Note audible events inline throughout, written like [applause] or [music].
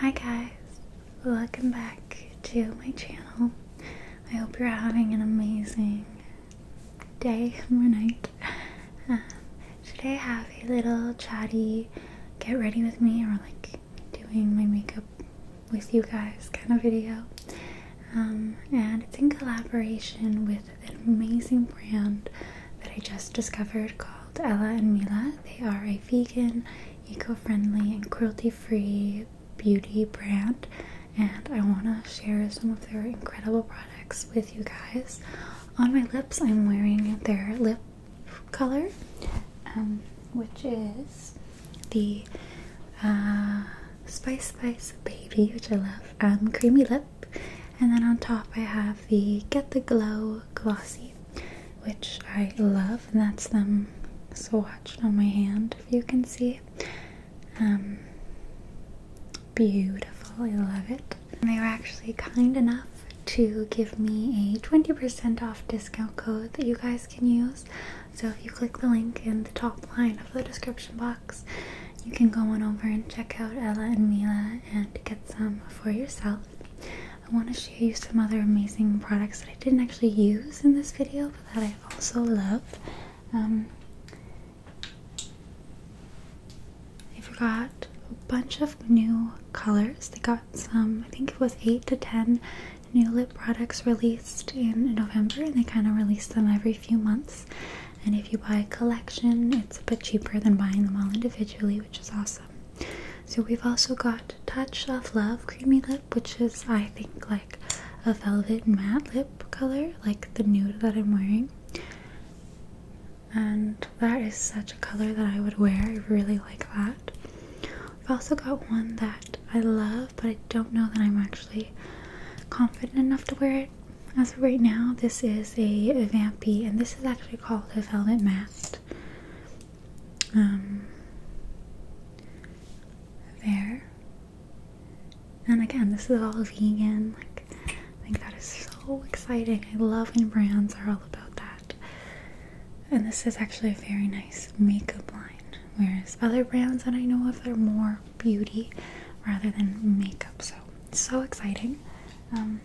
Hi guys, welcome back to my channel. I hope you're having an amazing day or night. [laughs] Um, today I have a little chatty get ready with me or like doing my makeup with you guys kind of video. Um, and it's in collaboration with an amazing brand that I just discovered called Ella and Mila. They are a vegan eco-friendly and cruelty-free beauty brand and I want to share some of their incredible products with you guys. On my lips I'm wearing their lip color um, which is the uh, Spice Spice Baby which I love um, creamy lip and then on top I have the Get the Glow glossy, which I love, and that's them swatched on my hand, if you can see. Um, beautiful, I love it. And they were actually kind enough to give me a 20% off discount code that you guys can use. So if you click the link in the top line of the description box, you can go on over and check out Ella and Mila and get some for yourself. I want to share you some other amazing products that I didn't actually use in this video, but that I also love. Um, I forgot a bunch of new colors. They got some, I think it was 8 to 10 new lip products released in November, and they kind of release them every few months. And if you buy a collection, it's a bit cheaper than buying them all individually, which is awesome. So we've also got Touch of Love Creamy Lip, which is I think like a velvet matte lip color, like the nude that I'm wearing. And that is such a color that I would wear. I really like that. I've also got one that I love, but I don't know that I'm actually confident enough to wear it. As of right now, this is a Vampy, and this is actually called a Velvet Matte um, there. And again, this is all vegan. Like, I think that is so exciting. I love when brands are all about that. And this is actually a very nice makeup line, whereas other brands that I know of they are more beauty rather than makeup. So, so exciting. Um,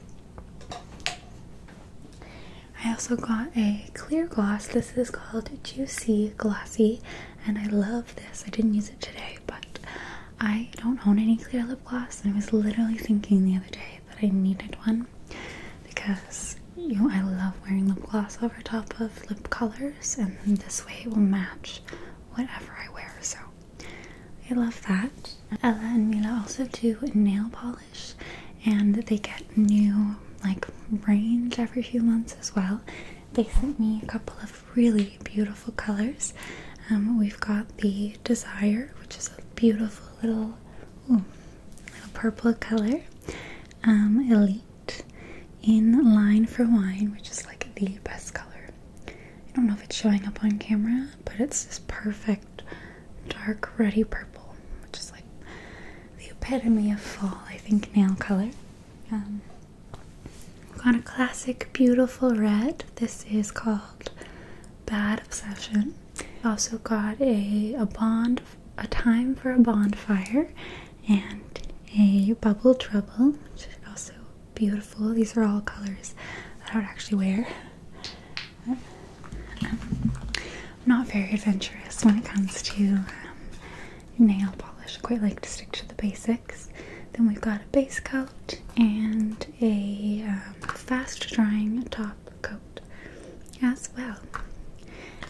I also got a clear gloss. This is called Juicy Glossy, and I love this. I didn't use it today, but I don't own any clear lip gloss, and I was literally thinking the other day that I needed one because you know I love wearing lip gloss over top of lip colors, and this way it will match whatever I wear. So I love that. Ella and Mila also do nail polish and they get new like range every few months as well. They sent me a couple of really beautiful colors. Um, we've got the Desire, which is a beautiful little, purple color. Um, Elite in Line for Wine, which is like the best color. I don't know if it's showing up on camera, but it's just perfect dark ruddy purple, which is like the epitome of fall, I think, nail color. Um, have got a classic beautiful red. This is called Bad Obsession. We've also got a, a bond, a time for a bonfire, and a bubble trouble, which is also beautiful. These are all colors that I would actually wear. I'm not very adventurous when it comes to um, nail polish. I quite like to stick to the basics. Then we've got a base coat and a um, fast drying top coat as well.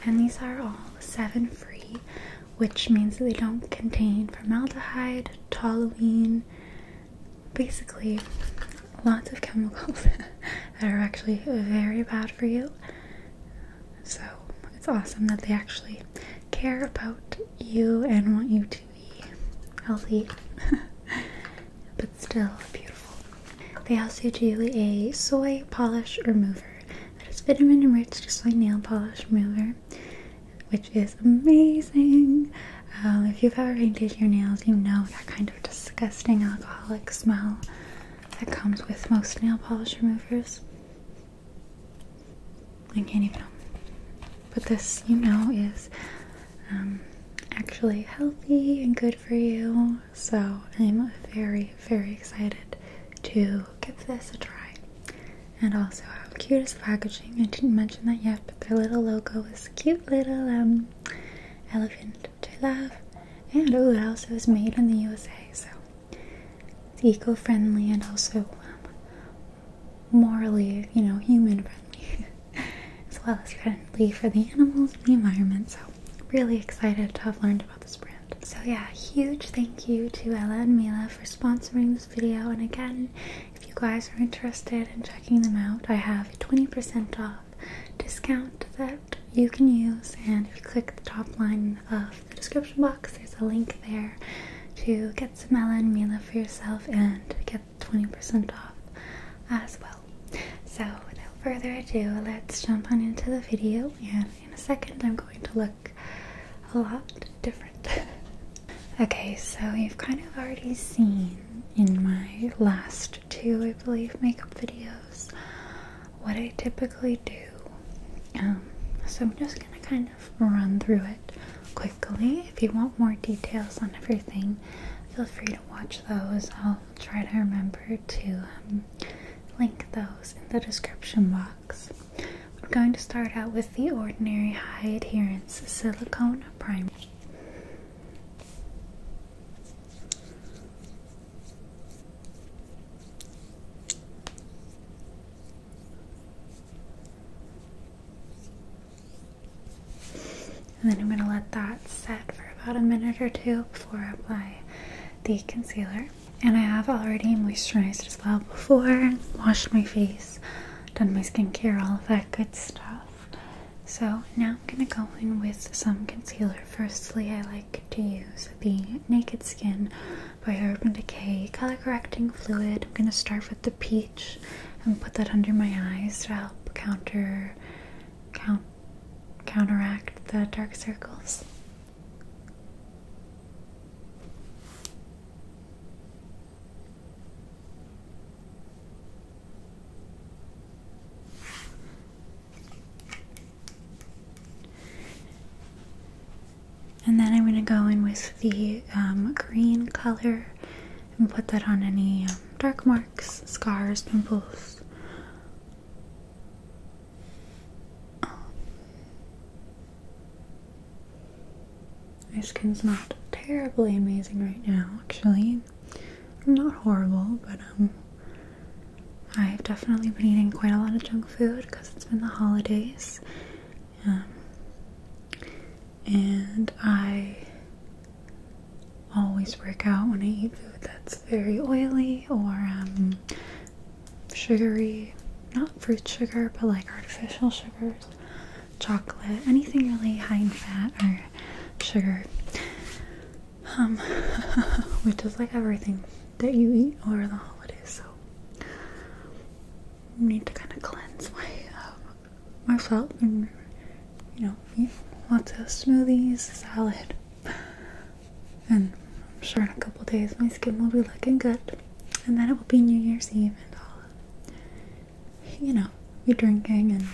And these are all seven free, which means that they don't contain formaldehyde, toluene, basically lots of chemicals [laughs] that are actually very bad for you. So it's awesome that they actually care about you and want you to be healthy, [laughs] but still beautiful. They also do a soy polish remover that is vitamin enriched like nail polish remover, which is amazing. Um, if you've ever painted your nails, you know that kind of disgusting alcoholic smell that comes with most nail polish removers. I can't even But this, you know, is um, actually healthy and good for you. So I'm very, very excited to give this a try. And also, how cute is packaging? I didn't mention that yet, but their little logo is cute little um, elephant. I love. And oh, it also is made in the USA, so it's eco-friendly and also um, morally, you know, human-friendly, [laughs] as well as friendly for the animals and the environment. So really excited to have learned about this brand. So yeah, huge thank you to Ella and Mila for sponsoring this video. And again, if you guys are interested in checking them out, I have 20% off discount that you can use. And if you click the top line of the description box, there's a link there to get some melon Mila for yourself and get 20% off as well. So, without further ado, let's jump on into the video. And in a second, I'm going to look a lot different. [laughs] okay, so you've kind of already seen in my last to, I believe, makeup videos what I typically do. Um, so I'm just going to kind of run through it quickly. If you want more details on everything, feel free to watch those. I'll try to remember to um, link those in the description box. We're going to start out with the Ordinary High Adherence Silicone Primer. And then I'm going to let that set for about a minute or two before I apply the concealer. And I have already moisturized as well before, washed my face, done my skincare, all of that good stuff. So now I'm going to go in with some concealer. Firstly, I like to use the Naked Skin by Urban Decay color correcting fluid. I'm going to start with the peach and put that under my eyes to help counter count, counteract the dark circles. And then I'm going to go in with the um, green color and put that on any um, dark marks, scars, pimples. My skin's not terribly amazing right now, actually not horrible, but um, I've definitely been eating quite a lot of junk food because it's been the holidays. Um, and I always work out when I eat food that's very oily or um, sugary. Not fruit sugar, but like artificial sugars, chocolate, anything really high in fat or sugar um, [laughs] which is like everything that you eat over the holidays. So need to kind of cleanse my um, myself and you know eat lots of smoothies, salad, and sure in a couple days my skin will be looking good, and then it will be New Year's Eve and all. You know, be drinking and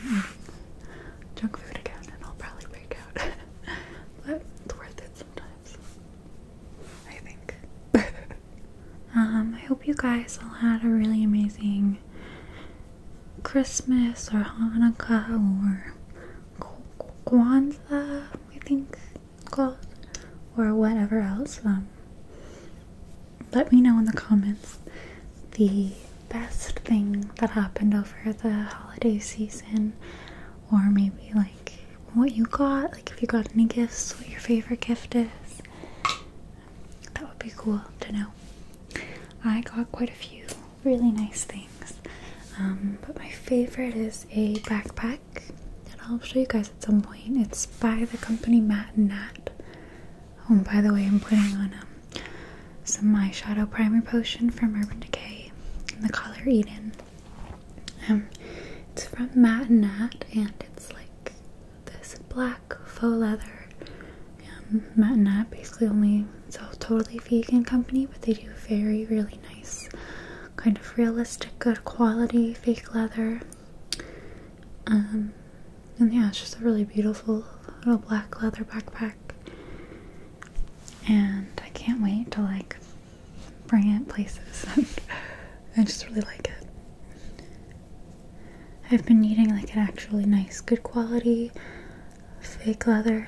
junk food again, and I'll probably be [laughs] but it's worth it sometimes. I think. [laughs] um, I hope you guys all had a really amazing Christmas or Hanukkah or Kwanzaa, I think it's called, or whatever else. Um, let me know in the comments the best thing that happened over the holiday season, or maybe like what you got, like if you got any gifts, what your favorite gift is. That would be cool to know. I got quite a few really nice things, um, but my favorite is a backpack that I'll show you guys at some point. It's by the company Matt and Nat. Oh, and by the way, I'm putting on a. Um, some my shadow primer potion from Urban Decay in the color Eden. Um, it's from Matt and Nat, and it's like this black faux leather. Um, Matt and Nat basically only sell totally vegan company, but they do very really nice, kind of realistic, good quality fake leather. Um, and yeah, it's just a really beautiful little black leather backpack. And I can't wait to like bring it places. [laughs] I just really like it. I've been needing like an actually nice, good quality fake leather.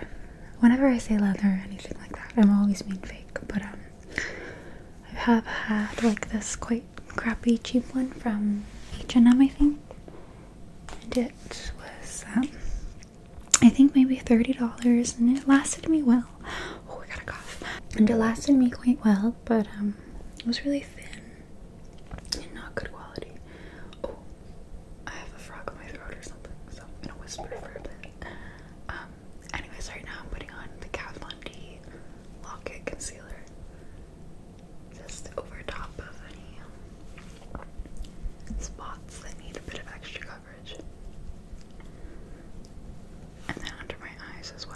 Whenever I say leather or anything like that, I'm always mean fake. But um, I have had like this quite crappy, cheap one from H&M, I think, and it was um, I think maybe $30 and it lasted me well. Oh, I got a cough. And it lasted me quite well, but um, it was really thin and not good quality. Oh, I have a frog in my throat or something, so I'm gonna whisper for a bit. Um, anyways, right now I'm putting on the Kat Von D Locket Concealer just over top of any um, spots that need a bit of extra coverage. And then under my eyes as well.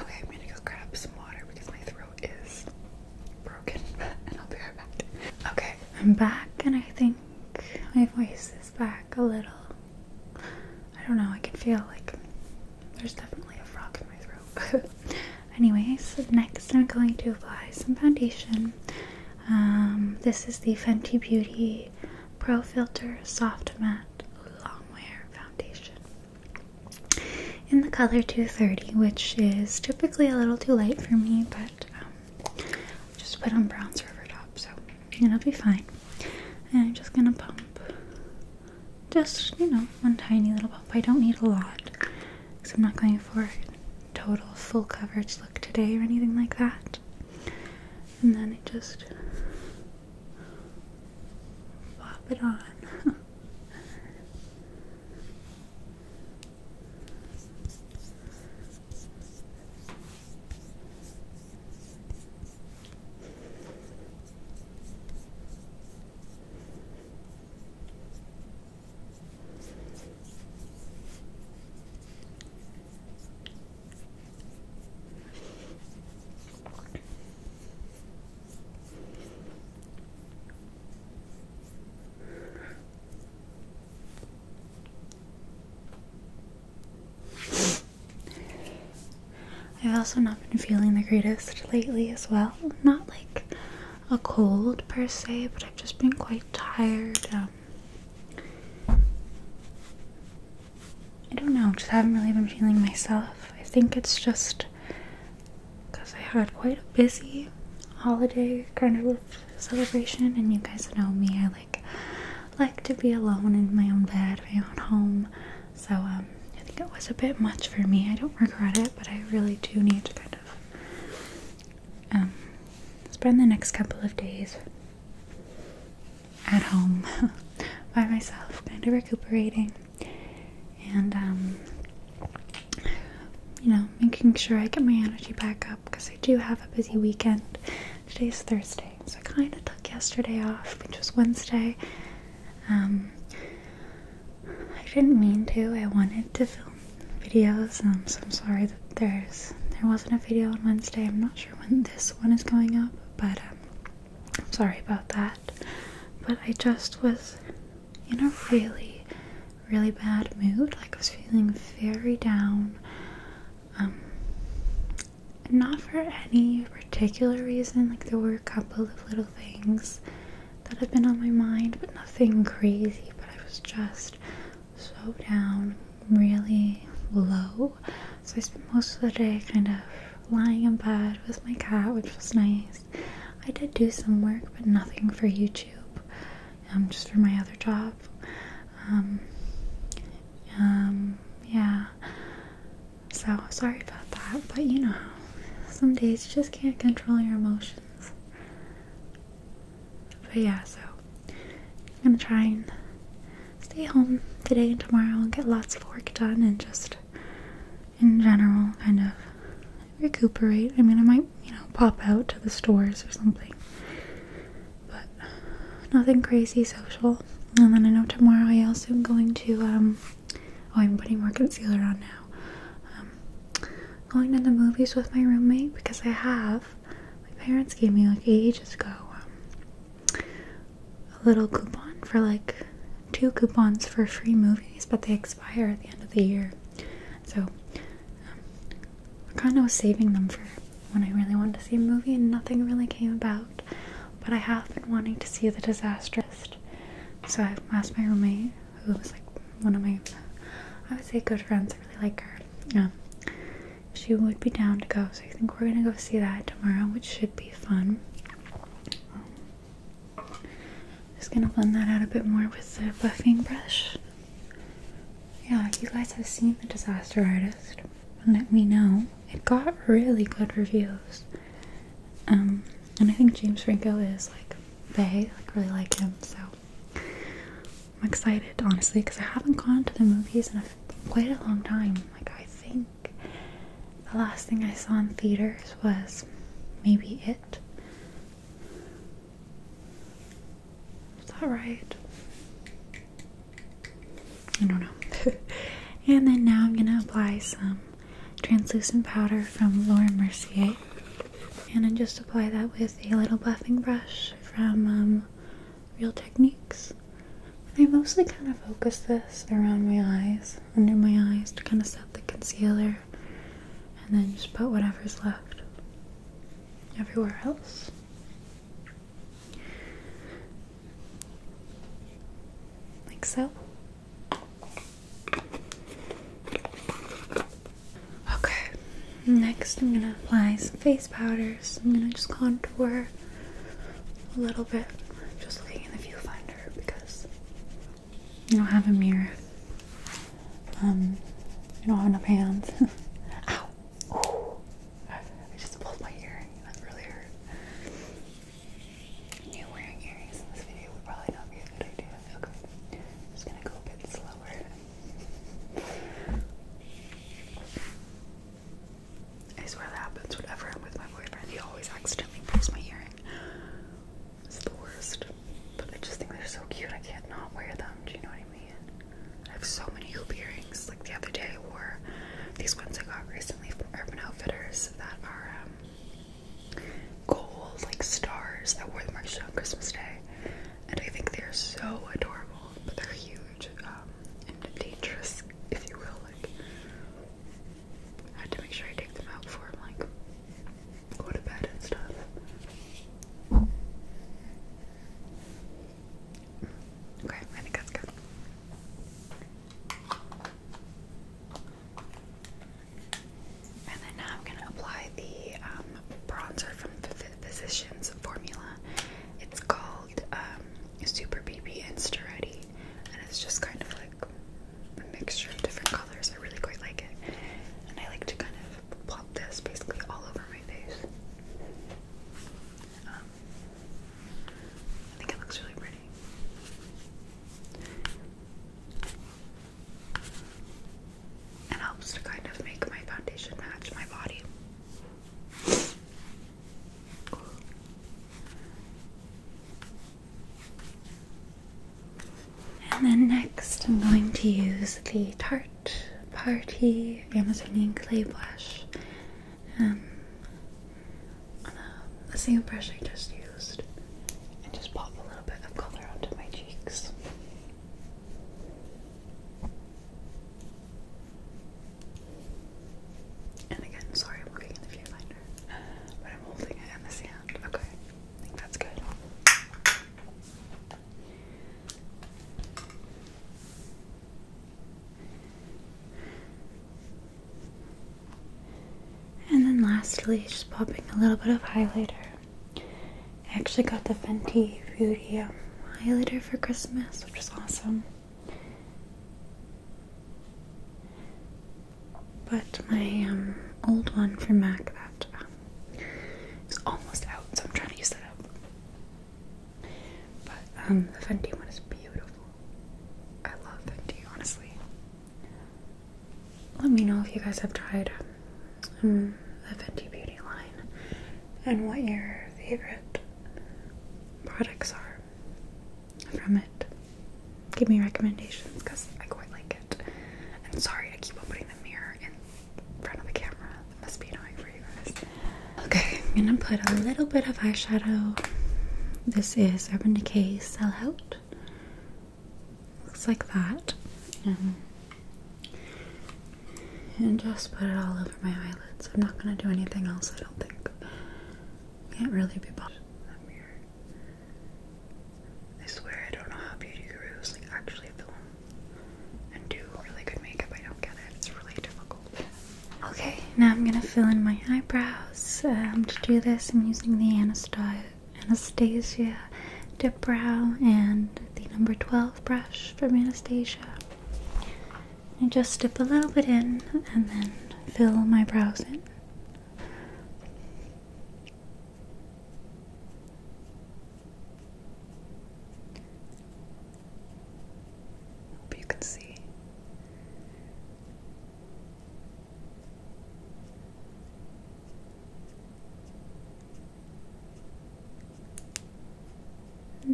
Okay, I'm gonna go grab some water because my throat is broken, [laughs] and I'll be right back. Okay, I'm back, and I think my voice is back a little. I don't know, I can feel like there's definitely a frog in my throat. Anyways, next I'm going to apply some foundation. Um, this is the Fenty Beauty Pro Filter Soft Matte Longwear Foundation in the color 230, which is typically a little too light for me, but um, just put on Browns over top, so it'll be fine. And I'm just gonna pump just, you know, one tiny little pump. I don't need a lot because I'm not going for total full coverage look today or anything like that. And then I just Pop it on. I've also not been feeling the greatest lately as well. Not like a cold per se, but I've just been quite tired. Um, I don't know, just haven't really been feeling myself. I think it's just because I had quite a busy holiday kind of celebration, and you guys know me. I like like to be alone in my own bed, my own home. So um, I think it was a bit much for me. I don't regret it, but I really do need to kind of um, spend the next couple of days at home [laughs] by myself, kind of recuperating and, um, you know, making sure I get my energy back up because I do have a busy weekend. Today's Thursday, so I kind of took yesterday off, which was Wednesday. Um, I didn't mean to, I wanted to film videos, um, so I'm sorry that there's there wasn't a video on Wednesday. I'm not sure when this one is going up, but um, I'm sorry about that. But I just was in a really, really bad mood. Like, I was feeling very down. Um, not for any particular reason. Like, there were a couple of little things that had been on my mind, but nothing crazy. But I was just so down, really low. So I spent most of the day kind of lying in bed with my cat, which was nice. I did do some work, but nothing for YouTube, um, just for my other job. Um, um, yeah. So sorry about that, but you know, some days you just can't control your emotions. But yeah, so I'm gonna try and stay home today and tomorrow and get lots of work done and just in general kind of recuperate. I mean, I might, you know, pop out to the stores or something, but nothing crazy social. And then I know tomorrow I also am going to, um, oh, I'm putting more concealer on now. Um, going to the movies with my roommate because I have. My parents gave me like ages ago um, a little coupon for like two coupons for free movies, but they expire at the end of the year. So I'm um, kind of saving them for when I really want to see a movie, and nothing really came about. But I have been wanting to see The Disastrist. So I've asked my roommate, who was like one of my, I would say, good friends. I really like her. Um, she would be down to go. So I think we're gonna go see that tomorrow, which should be fun. just gonna blend that out a bit more with the buffing brush. Yeah, you guys have seen The Disaster Artist. Let me know. It got really good reviews. Um, and I think James Franco is like they like really like him, so I'm excited honestly because I haven't gone to the movies in a, quite a long time. Like I think the last thing I saw in theaters was maybe it. that right? I don't know. [laughs] and then now I'm gonna apply some translucent powder from Laura Mercier. And I just apply that with a little buffing brush from um, real techniques. I mostly kind of focus this around my eyes, under my eyes, to kind of set the concealer, and then just put whatever's left everywhere else. Like so. Okay, next I'm gonna apply some face powders. I'm gonna just contour a little bit just looking in the viewfinder because you don't have a mirror. Um, you don't have enough hands. [laughs] Ow! I just pulled my earring. That really You wearing earrings in this video would probably not be a good idea. Okay. just gonna go a bit slower. I swear that happens whenever I'm with my boyfriend. He always accidentally pulls my earring. It's the worst. But I just think they're so cute. I can't not wear them. Do you know what I mean? I have so many hoop earrings. Like the other day, I wore these ones I got recently from Urban Outfitters that are um, gold, like stars. I wore them actually on Christmas Day. And I think they're so adorable, but they're huge huge um, and dangerous, if you will. Like, I had to make sure I take them out before I'm like go to bed and stuff. Okay, I think that's good. And then now I'm gonna apply the um, bronzer from Physicians Formula. It's called um, Super BB Insta Ready and it's just kind of like a mixture of different colors. I really quite like it, and I like to kind of plop this basically all over my face. Um, I think it looks really pretty. It helps to kind of make my foundation match my body. And then next, I'm going to use the Tarte Party Amazonian Clay Blush um, on the same brush I just used, and just pop a little bit of color onto my cheeks. And again, sorry I'm looking at the viewfinder, but I'm holding it in this hand. Okay, I think that's good. And then lastly, just popping a little bit of highlighter. I actually got the Fenty Beauty um, highlighter for Christmas, which was awesome. But my um, old one for Mac that um, is almost out, so I'm trying to use that up. But um, the Fenty one is beautiful. I love Fenty, honestly. Let me know if you guys have tried the Fenty Beauty line and what your favorite products are from it. Give me recommendations because I quite like it. And sorry, I keep putting the mirror in front of the camera. must be annoying for you guys. Okay, I'm gonna put a little bit of eyeshadow. This is Urban Decay Sellout. Looks like that. Um, and just put it all over my eyelids. I'm not gonna do anything else, I don't think. Can't really be bothered. i swear I don't know how beauty gurus like actually film and do really good makeup. I don't get it. It's really difficult. Okay, now I'm gonna fill in my eyebrows. Um, to do this, I'm using the Anastasia, Anastasia Dip Brow and the number 12 brush from Anastasia. And just dip a little bit in and then fill my brows in. Hope you can see.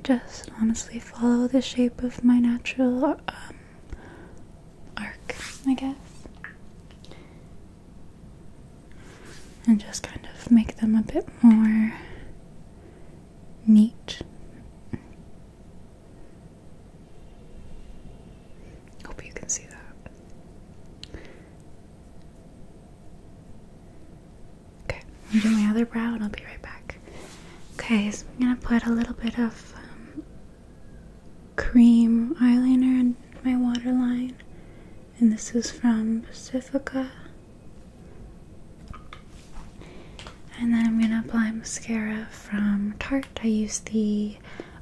Just honestly follow the shape of my natural um, arc, I guess. And just kind of make them a bit more neat. Hope you can see that. Okay, I'm doing my other brow and I'll be right back. Okay, so I'm gonna put a little bit of um, cream eyeliner on my waterline, and this is from Pacifica. And then I'm gonna apply mascara from Tarte. I use the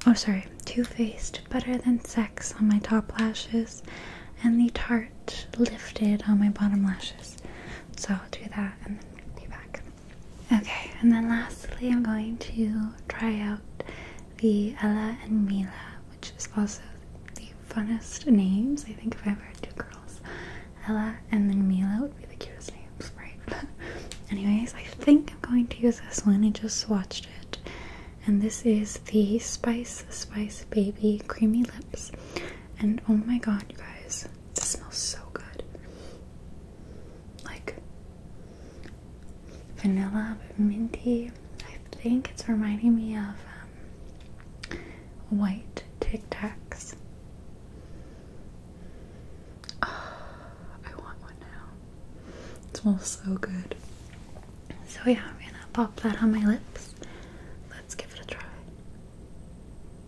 oh sorry, Too Faced Better Than Sex on my top lashes, and the Tarte Lifted on my bottom lashes. So I'll do that and then be back. Okay, and then lastly, I'm going to try out the Ella and Mila, which is also the funnest names. I think if I ever had two girls, Ella and then Mila would be the cutest names, right? [laughs] anyways, I think I'm going to use this one. I just swatched it. And this is the Spice Spice Baby Creamy Lips. And oh my god, you guys, this smells so good. Like vanilla, minty. I think it's reminding me of um, white Tic Tacs. Oh, I want one now. It smells so good. So, yeah, I'm gonna pop that on my lips. Let's give it a try.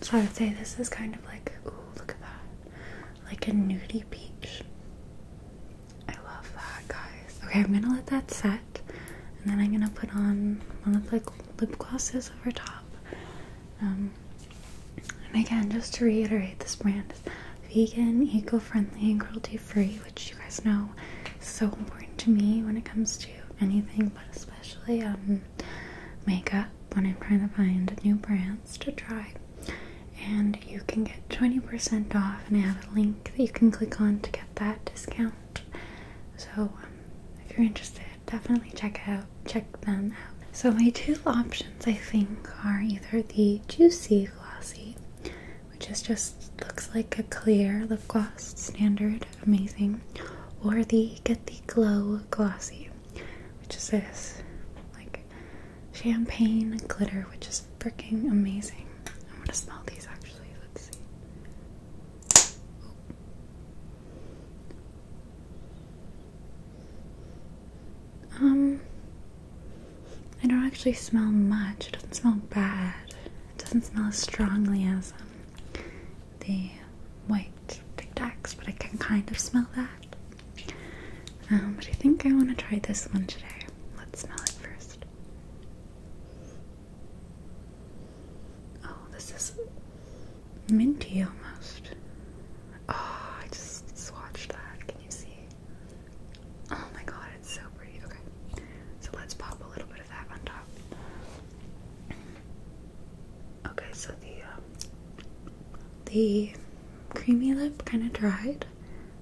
So I'd say this is kind of like, ooh, look at that. Like a nudie peach. I love that, guys. Okay, I'm gonna let that set, and then I'm gonna put on one of the like, lip glosses over top. Um, and again, just to reiterate, this brand is vegan, eco-friendly, and cruelty-free, which you guys know is so important to me when it comes to anything, but especially um, makeup. When I'm trying to find new brands to try, and you can get 20% off, and I have a link that you can click on to get that discount. So um, if you're interested, definitely check out check them out. So my two options I think are either the Juicy Glossy, which is just looks like a clear lip gloss, standard, amazing, or the Get the Glow Glossy, which is this like champagne glitter, which is freaking amazing. I am going to smell these actually actually. Let's see. Um, I don't actually smell much. It doesn't smell bad. It doesn't smell as strongly as um, the white Tic Tacs, but I can kind of smell that. Um, but I think I want to try this one today. Let's smell it first. Oh, this is minty almost. Oh, I just swatched that. Can you see? Oh my god, it's so pretty. Okay, so let's pop a little bit of that on top. Okay, so the um, the creamy lip kind of dried,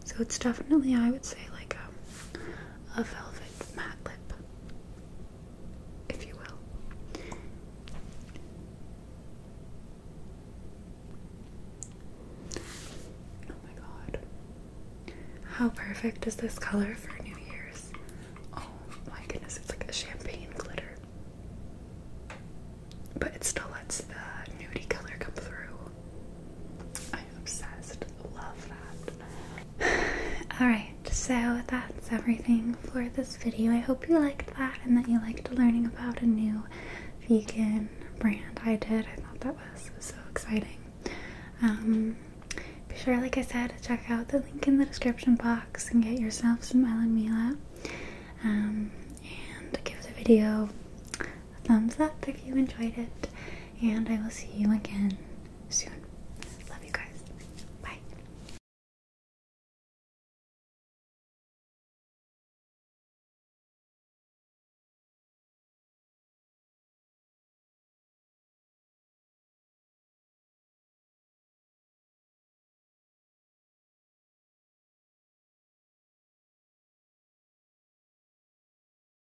so it's definitely I would say like a um, a velvet matte lip, if you will. Oh my god. How perfect is this color for New Year's? Oh my goodness, it's like a champagne glitter. But it still lets the nudey color come through. I'm obsessed. Love that. [sighs] Alright, so that's everything for this video. I hope you liked that and that you liked learning about a new vegan brand. I did. I thought that was so exciting. Um, be sure, like I said, check out the link in the description box and get yourself some Ellen Mila. Um, and give the video thumbs up if you enjoyed it, and I will see you again soon. Love you guys. Bye.